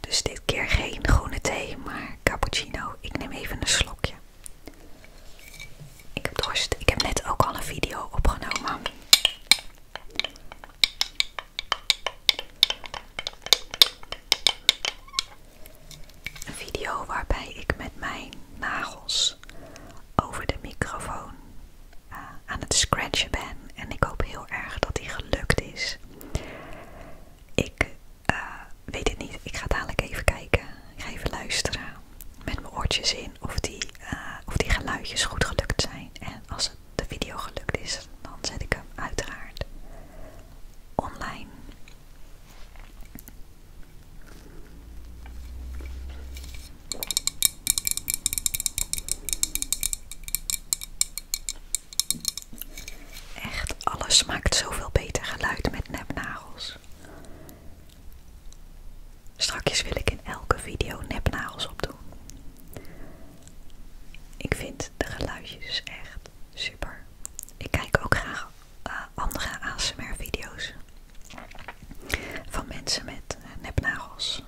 Dus dit keer geen groene thee, maar cappuccino. Ik neem even een slokje. Ik heb dorst. Ik heb net ook al een video opgenomen. Een video waarbij ik met mijn nagels over de microfoon eh, aan het scratchen ben. En ik hoop heel erg dat die gelukt is. Ik uh, weet het niet. Ik ga dadelijk even kijken. Ik ga even luisteren met mijn oortjes in of die, eh, of die geluidjes goed gelukt zijn. En als het de video gelukt is, dan zet ik hem uiteraard online. Echt, alles smaakt zoveel beter geluid met nepnagels. Strakjes wil ik in elke video nepnagels opdoen. Ik vind de geluidjes echt super. Ik kijk ook graag eh, andere ASMR-video's van mensen met eh, nepnagels.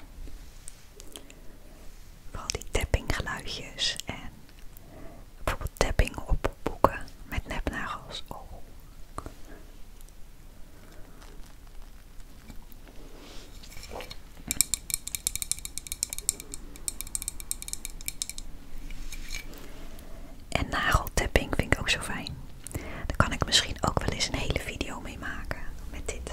Vooral die tappinggeluidjes en Bijvoorbeeld tapping op boeken met nepnagels. Oh. En nageltapping vind ik ook zo fijn. Daar kan ik misschien ook wel eens een hele video mee maken met dit.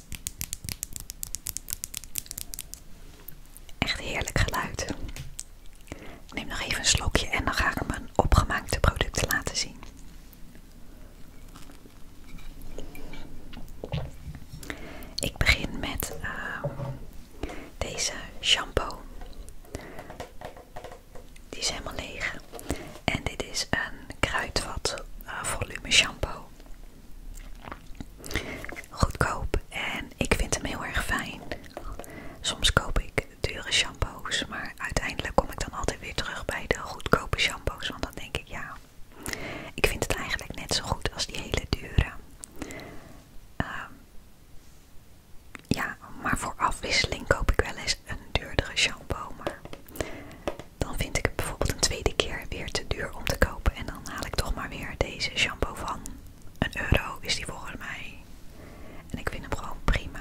Echt heerlijk geluid. Ik neem nog even een slokje en dan ga ik mijn opgemaakte producten laten zien. Ik begin met ehm, deze shampoo. Die is helemaal leeg. En dit is een kruidvat eh, volume shampoo goedkoop en ik vind hem heel erg fijn. Soms koop ik dure shampoos, maar uiteindelijk kom ik dan altijd weer terug bij de goedkope shampoos, want dan denk ik ja, ik vind het eigenlijk net zo goed als die hele dure. Ehm, ja, maar voor afwisseling koop ik wel eens een duurdere shampoo, maar dan vind ik het bijvoorbeeld een tweede keer weer te duur om te kopen. En dan haal ik toch maar weer deze shampoo van. Een euro is die volgens mij. En ik vind hem gewoon prima.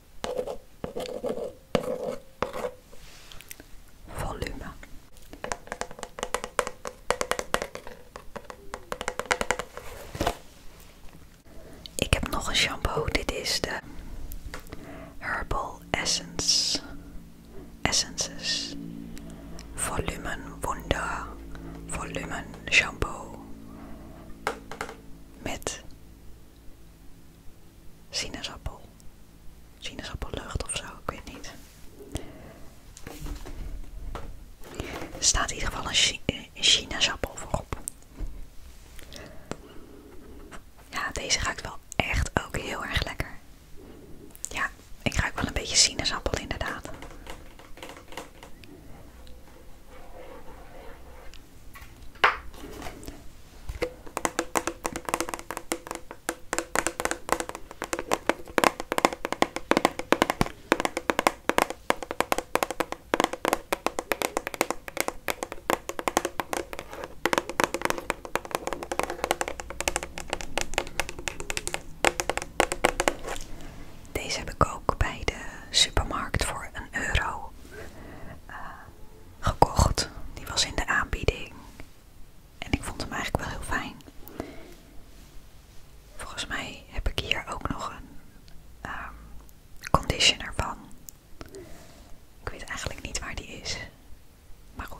Volume. Ik heb nog een shampoo. Dit is de Herbal Essence. Essences. Volumen Wunder. Volumen Shampoo. Met sinaasappel. Sinaasappellucht of zo, ik weet niet. Er staat in ieder geval een, chinasappel eh, voorop. Ja, deze ruikt wel echt ook heel erg lekker. Ja, ik ruik wel een beetje sinaasappel inderdaad. Deze heb ik ook bij de supermarkt voor een euro. Eh, gekocht. Die was in de aanbieding. En ik vond hem eigenlijk wel heel fijn. Volgens mij heb ik hier ook nog een ehm, conditioner van. Ik weet eigenlijk niet waar die is. Maar goed.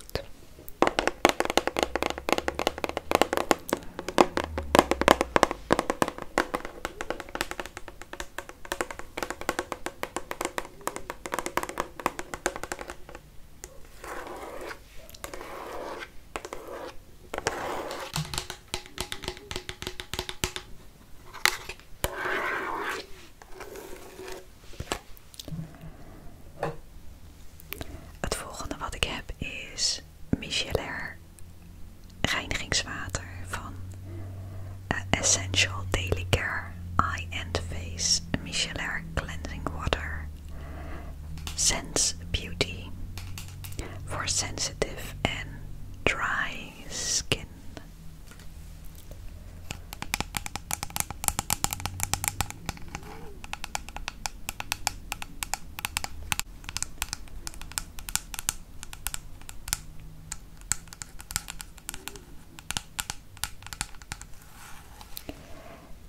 Het volgende wat ik heb is micellair reinigingswater van Essential Daily Care Eye and Face Micellar Cleansing Water, Sense Beauty for sensitive and dry skin.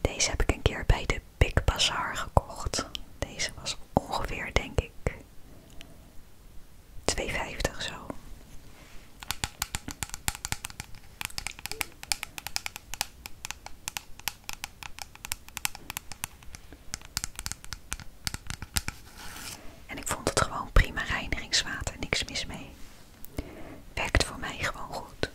Deze heb ik een keer bij de Big Bazaar gekocht. Deze was ongeveer, denk ik, 2,50 zo. En ik vond het gewoon prima reinigingswater, niks mis mee. Werkt voor mij gewoon goed.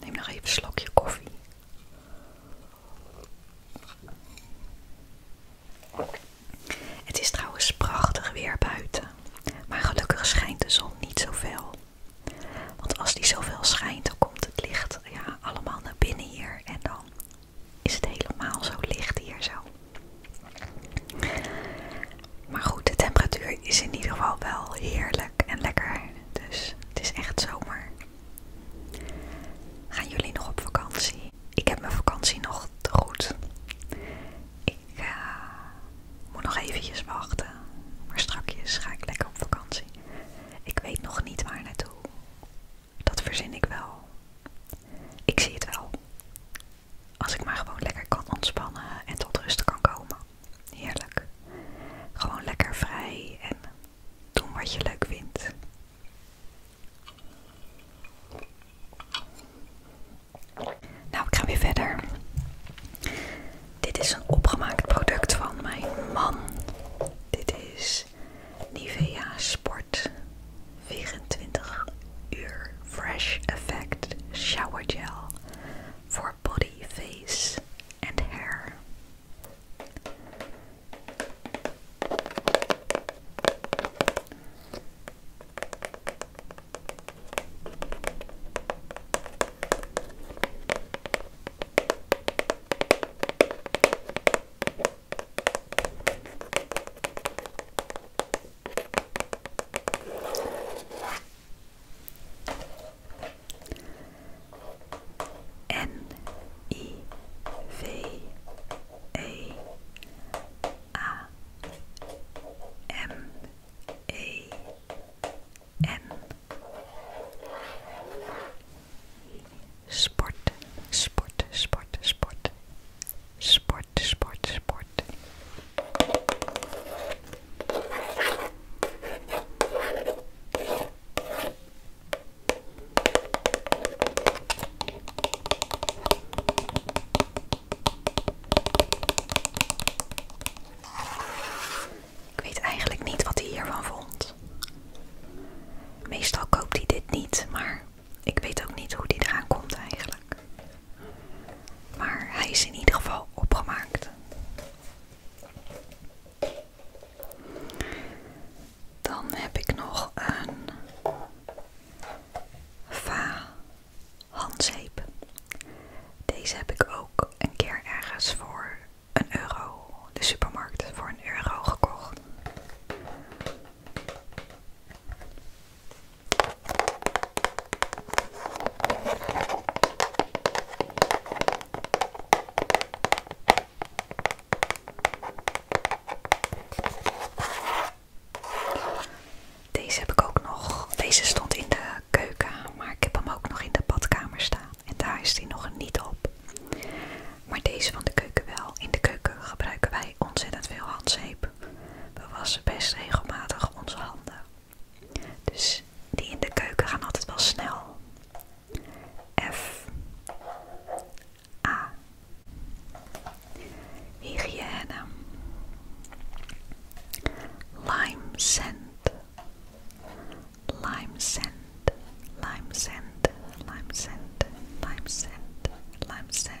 Neem nog even een slokje koffie. Het is trouwens prachtig weer buiten, maar gelukkig schijnt de zon niet zoveel. Want als die zoveel schijnt, dan komt het licht ja, allemaal naar binnen hier en dan is het helemaal zo licht hier zo. Maar goed, de temperatuur is in ieder geval wel heerlijk en lekker. Dus het is echt zomer. Gaan jullie nog op vakantie? Ik heb mijn vakantie nog te goed. Ik eh, moet nog eventjes wachten. Maar strakjes ga ik lekker op vakantie. Ik weet nog niet waar naartoe. Dat verzin ik wel. Ik zie het wel. Als ik maar gewoon lekker kan ontspannen en tot rust kan komen. Heerlijk. Gewoon lekker vrij en doen wat je leuk vindt. Nou, ik ga weer verder. Dit is een opgemaakt product van mijn man. Dit is Nivea Sport 24 uur Fresh Effect Shower Gel voor body, face en hair. N I V A A M A N Sport, sport, sport, sport, sport, sport, sport. Ik weet eigenlijk niet wat hij hiervan vond. Meestal koopt hij dit niet, maar ik weet ook niet hoe die eraan komt eigenlijk. Maar hij is in ieder geval opgemaakt. Dan heb ik nog een va handzeep. Deze heb ik ook een keer ergens voor een euro, de supermarkt, voor een euro gekocht. Deze heb ik ook nog. Deze stond in de keuken, maar ik heb hem ook nog in de badkamer staan. En daar is die nog niet op. Maar deze van de keuken wel. In de keuken gebruiken wij ontzettend veel handzeep. We wassen best regelmatig onze handen. Dus die in de keuken gaan altijd wel snel. F. A. Hygiëne. Lime scent. Lime scent. Lime scent. Lime scent. Lime scent. Lime scent.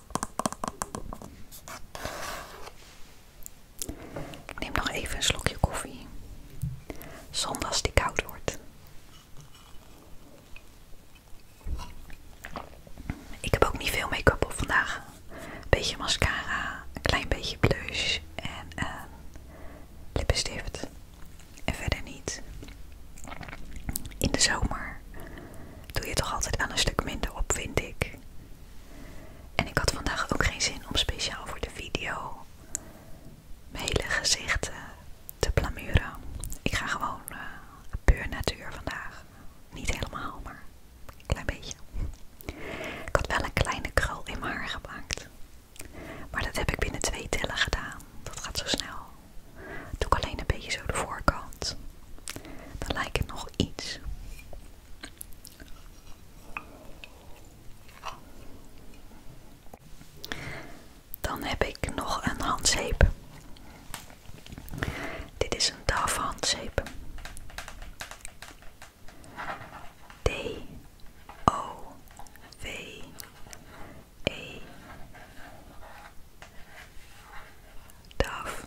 Ik neem nog even een slokje koffie. Zonder die koud wordt. Ik heb ook niet veel make-up op vandaag. Een beetje mascara, een klein beetje blush en ehm, lippenstift. En verder niet. In de zomer doe je toch altijd aan een stuk minder op, vind ik. En ik had vandaag ook geen zin om speciaal voor de video mijn hele gezicht eh, te plamuren. Ik ga gewoon eh, puur natuur vandaag. Niet helemaal, maar een klein beetje. Ik had wel een kleine krul in mijn haar gemaakt. Maar dat heb ik binnen twee tellen gedaan. Dat gaat zo snel. Doe ik alleen een beetje zo de voorkant. Dan lijkt het nog iets. Dan heb ik nog een handzeep. Dit is een DAF handzeep. D O W E DAF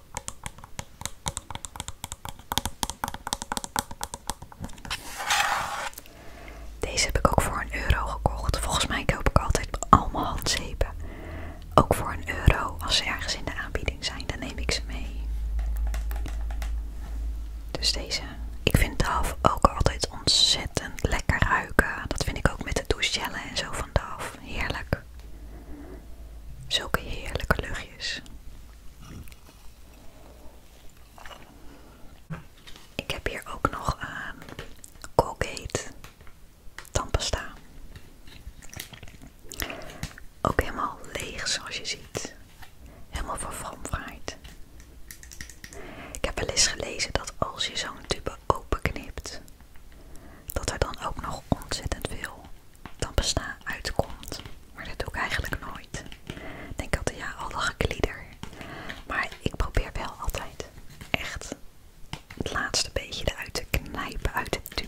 Deze heb ik ook voor een euro gekocht. Volgens mij koop ik altijd allemaal handzeepen. Ook voor een euro. Als ze ergens in de aanbieding zijn, dan neem ik ze mee. Dus deze. Ik vind DAF ook altijd ontzettend lekker ruiken. Dat vind ik ook met de douchegellen en zo van DAF. Heerlijk. Zulke heerlijke luchtjes. Ik heb hier ook nog ehm, Colgate tandpasta. Ook helemaal leeg zoals je ziet. Helemaal verfromfraaid. Ik heb wel eens gelezen dat als je zo'n tube openknipt, dat er dan ook nog ontzettend veel dan bestaat uitkomt. Maar dat doe ik eigenlijk nooit. Ik denk altijd, ja, al dat geklieder. Maar ik probeer wel altijd echt het laatste beetje eruit te knijpen, uit te tube.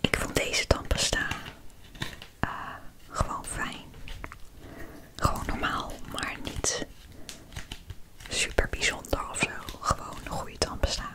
Ik vond deze tandpasta uh, gewoon fijn. Gewoon normaal, maar niet super bijzonder of zo. Gewoon een goede tandpasta.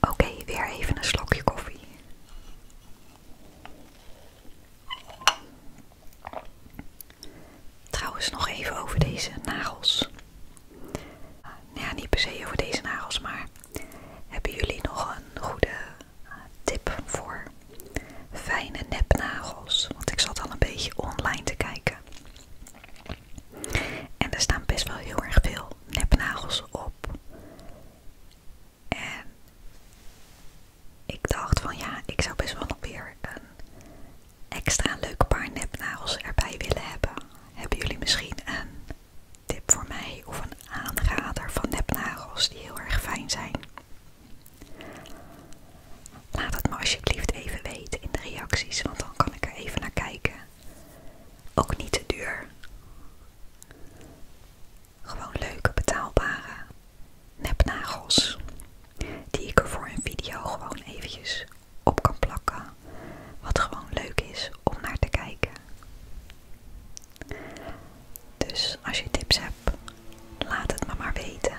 Oké, weer even een slokje koffie. Trouwens, nog even over deze nagels. Nou ja, niet per se over deze nagels, maar hebben jullie nog een goede tip voor fijne nepnagels? Want ik zat al een beetje online te kijken. En er staan best wel heel erg veel nepnagels op. En ik dacht van ja, ik zou best wel nog weer een extra leuk paar nepnagels erbij willen hebben. Hebben jullie misschien een tip voor mij of een aanrader van nepnagels die heel erg fijn zijn? Laat het me alsjeblieft even weten in de reacties, want dan kan ik er even naar kijken ook niet te duur. Gewoon leuke betaalbare nepnagels. Die ik er voor een video gewoon eventjes op kan plakken. Wat gewoon leuk is om naar te kijken. Dus als je tips hebt, laat het me maar weten.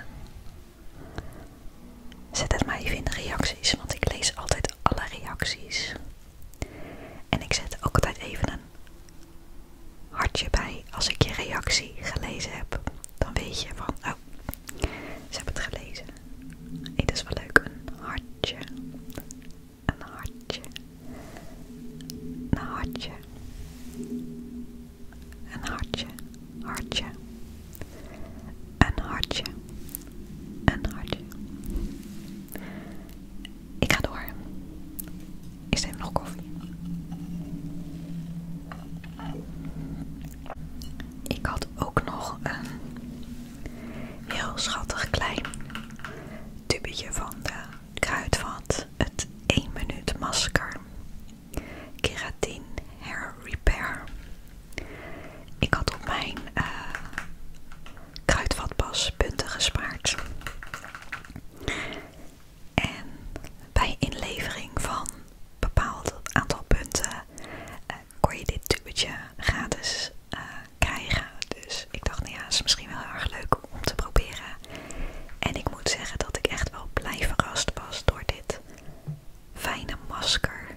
Zet het mij even in de reacties, want ik lees altijd alle reacties. En ik zet ook altijd even een hartje bij als ik je reactie gelezen heb. Dan weet je van, oh, ze hebben het gelezen. Dit dat is wel leuk, een hartje. Een hartje. Een hartje. Een hartje. Hartje. Een hartje en hartje. Ik ga door. Is er nog koffie? Ik had ook nog een heel schattig klein tubetje van de kruidvat. Het 1 minuut masker. Keratin Hair Repair. Ik had op mijn eh, Kruidvatpas punten gespaard. En bij inlevering van een bepaald aantal punten eh, kon je dit tubetje gratis eh, krijgen. Dus ik dacht, nou ja, is misschien wel heel erg leuk om te proberen. En ik moet zeggen dat ik echt wel blij verrast was door dit fijne masker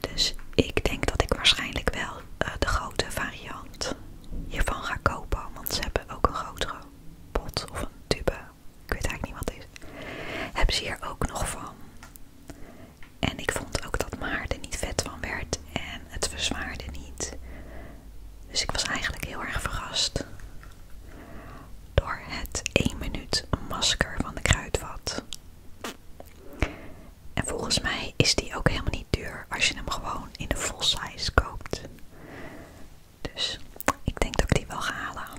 dus ik denk dat ik waarschijnlijk wel eh, de grote variant hiervan ga kopen. Want ze hebben ook een grotere pot of een tube. Ik weet eigenlijk niet wat is. Hebben ze hier ook nog van. En ik vond ook dat mijn haar er niet vet van werd. En het verzwaarde niet. Dus ik was eigenlijk heel erg verrast. Door het 1 minuut masker van de Kruidvat. En volgens mij is die ook helemaal niet duur als je hem gewoon in de full size koopt. Dus ik denk dat ik die wel ga halen.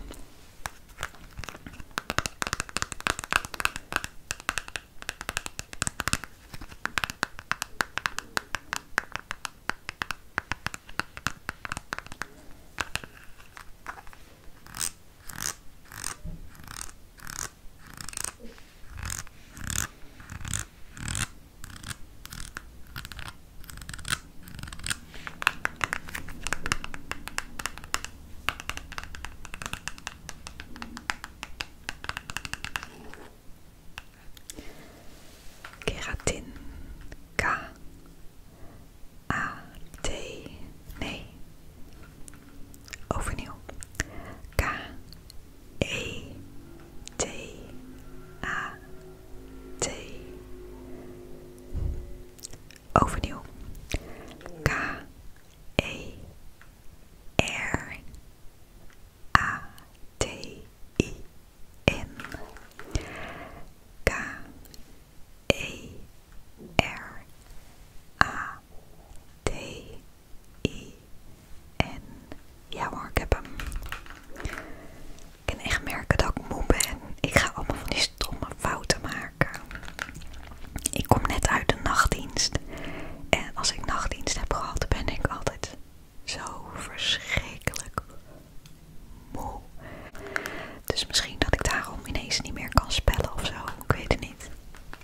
Keratin K A T nee overnieuw K E T A T Overnieuw K E R A T I N K E R A T I-N. E ja hoor, ik heb hem. Ik kan echt merken dat ik moe ben. Ik ga allemaal van die stomme fouten maken. Ik kom net uit de nachtdienst. En als ik nachtdienst heb gehad, ben ik altijd zo verschrikkelijk moe. Dus misschien dat ik daarom ineens niet meer kan spellen of zo. Ik weet het niet.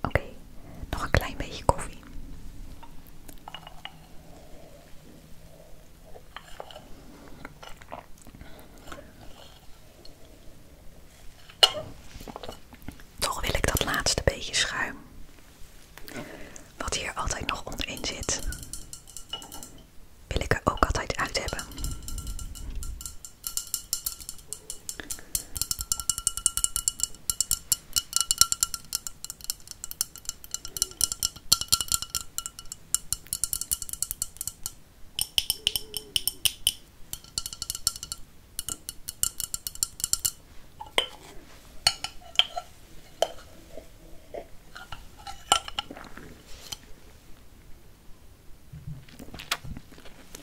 Oké, nog een klein beetje koffie. Toch wil ik dat laatste beetje schuim, wat hier altijd nog onderin zit, wil ik er ook altijd uit hebben.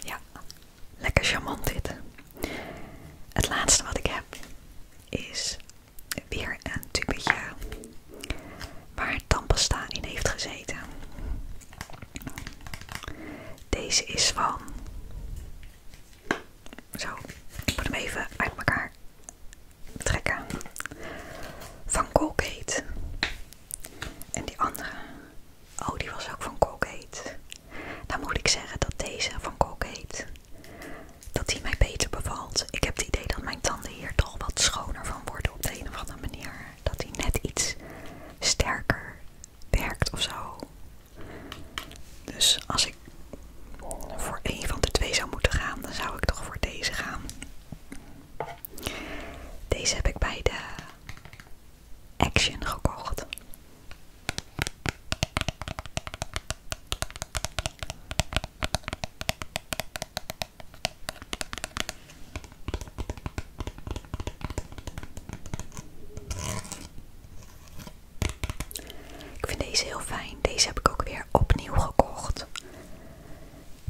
Ja, lekker charmant dit. Het laatste wat ik heb is weer een tubetje waar tandpasta in heeft gezeten. Deze is van zo, ik moet hem even uit elkaar trekken. Van Colgate. En die andere, oh die was ook van Colgate. Dan moet ik zeggen dat deze van Colgate, dat die mij beter bevalt. Ik heb het idee dat mijn tanden hier toch wat schoner van worden op de een of andere manier. Dat die net iets sterker werkt of zo. Dus als ik voor een van de twee zou moeten gaan, dan zou ik toch voor deze gaan. Deze heb ik bij de Action gekocht. Ik vind deze heel fijn. Deze heb ik ook weer opnieuw gekocht.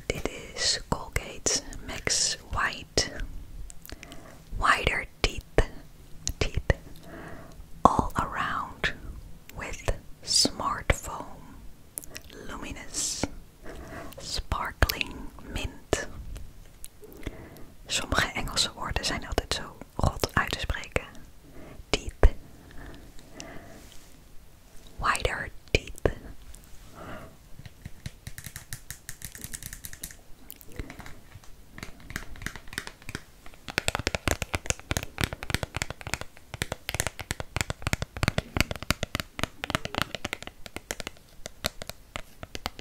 Dit is Colgate Max White. Wider teeth. Teeth. All around. With smart foam. Luminous. Sparkling mint. Sommige Engelse woorden zijn altijd zo God uit te spreken. Deep. Wider, deep.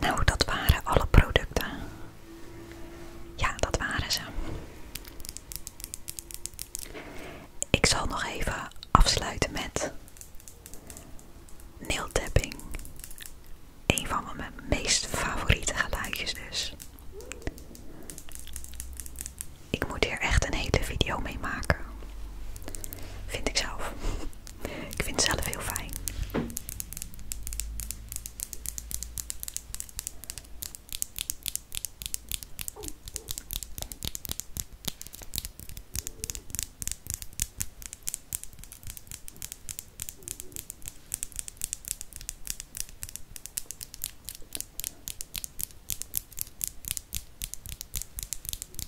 Nou, dat waren alle producten. Ja, dat waren ze. Ik zal nog even afsluiten met nailtapping. Een van mijn meest favoriete geluidjes dus. Ik moet hier echt een hele video mee maken. Vind ik zelf. Ik vind het zelf heel fijn.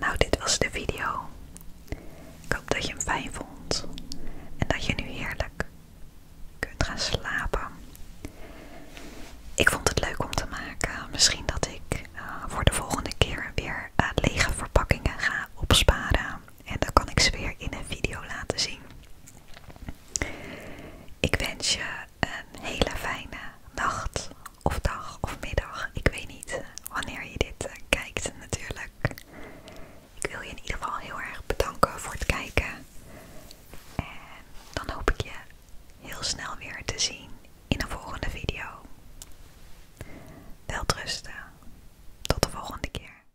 Nou, dit was de video. Ik hoop dat je hem fijn vond en dat je nu heerlijk kunt gaan slapen. Ik vond het leuk om te maken. Misschien dat ik eh, voor de volgende keer weer eh, lege verpakkingen ga opsparen. En dan kan ik ze weer in een video laten zien. Ik wens je een hele fijne nacht of dag of middag. Ik weet niet wanneer je dit eh, kijkt natuurlijk. Ik wil je in ieder geval heel erg bedanken voor het kijken. En dan hoop ik je heel snel weer te zien in een volgende video. Welterusten. Tot de volgende keer.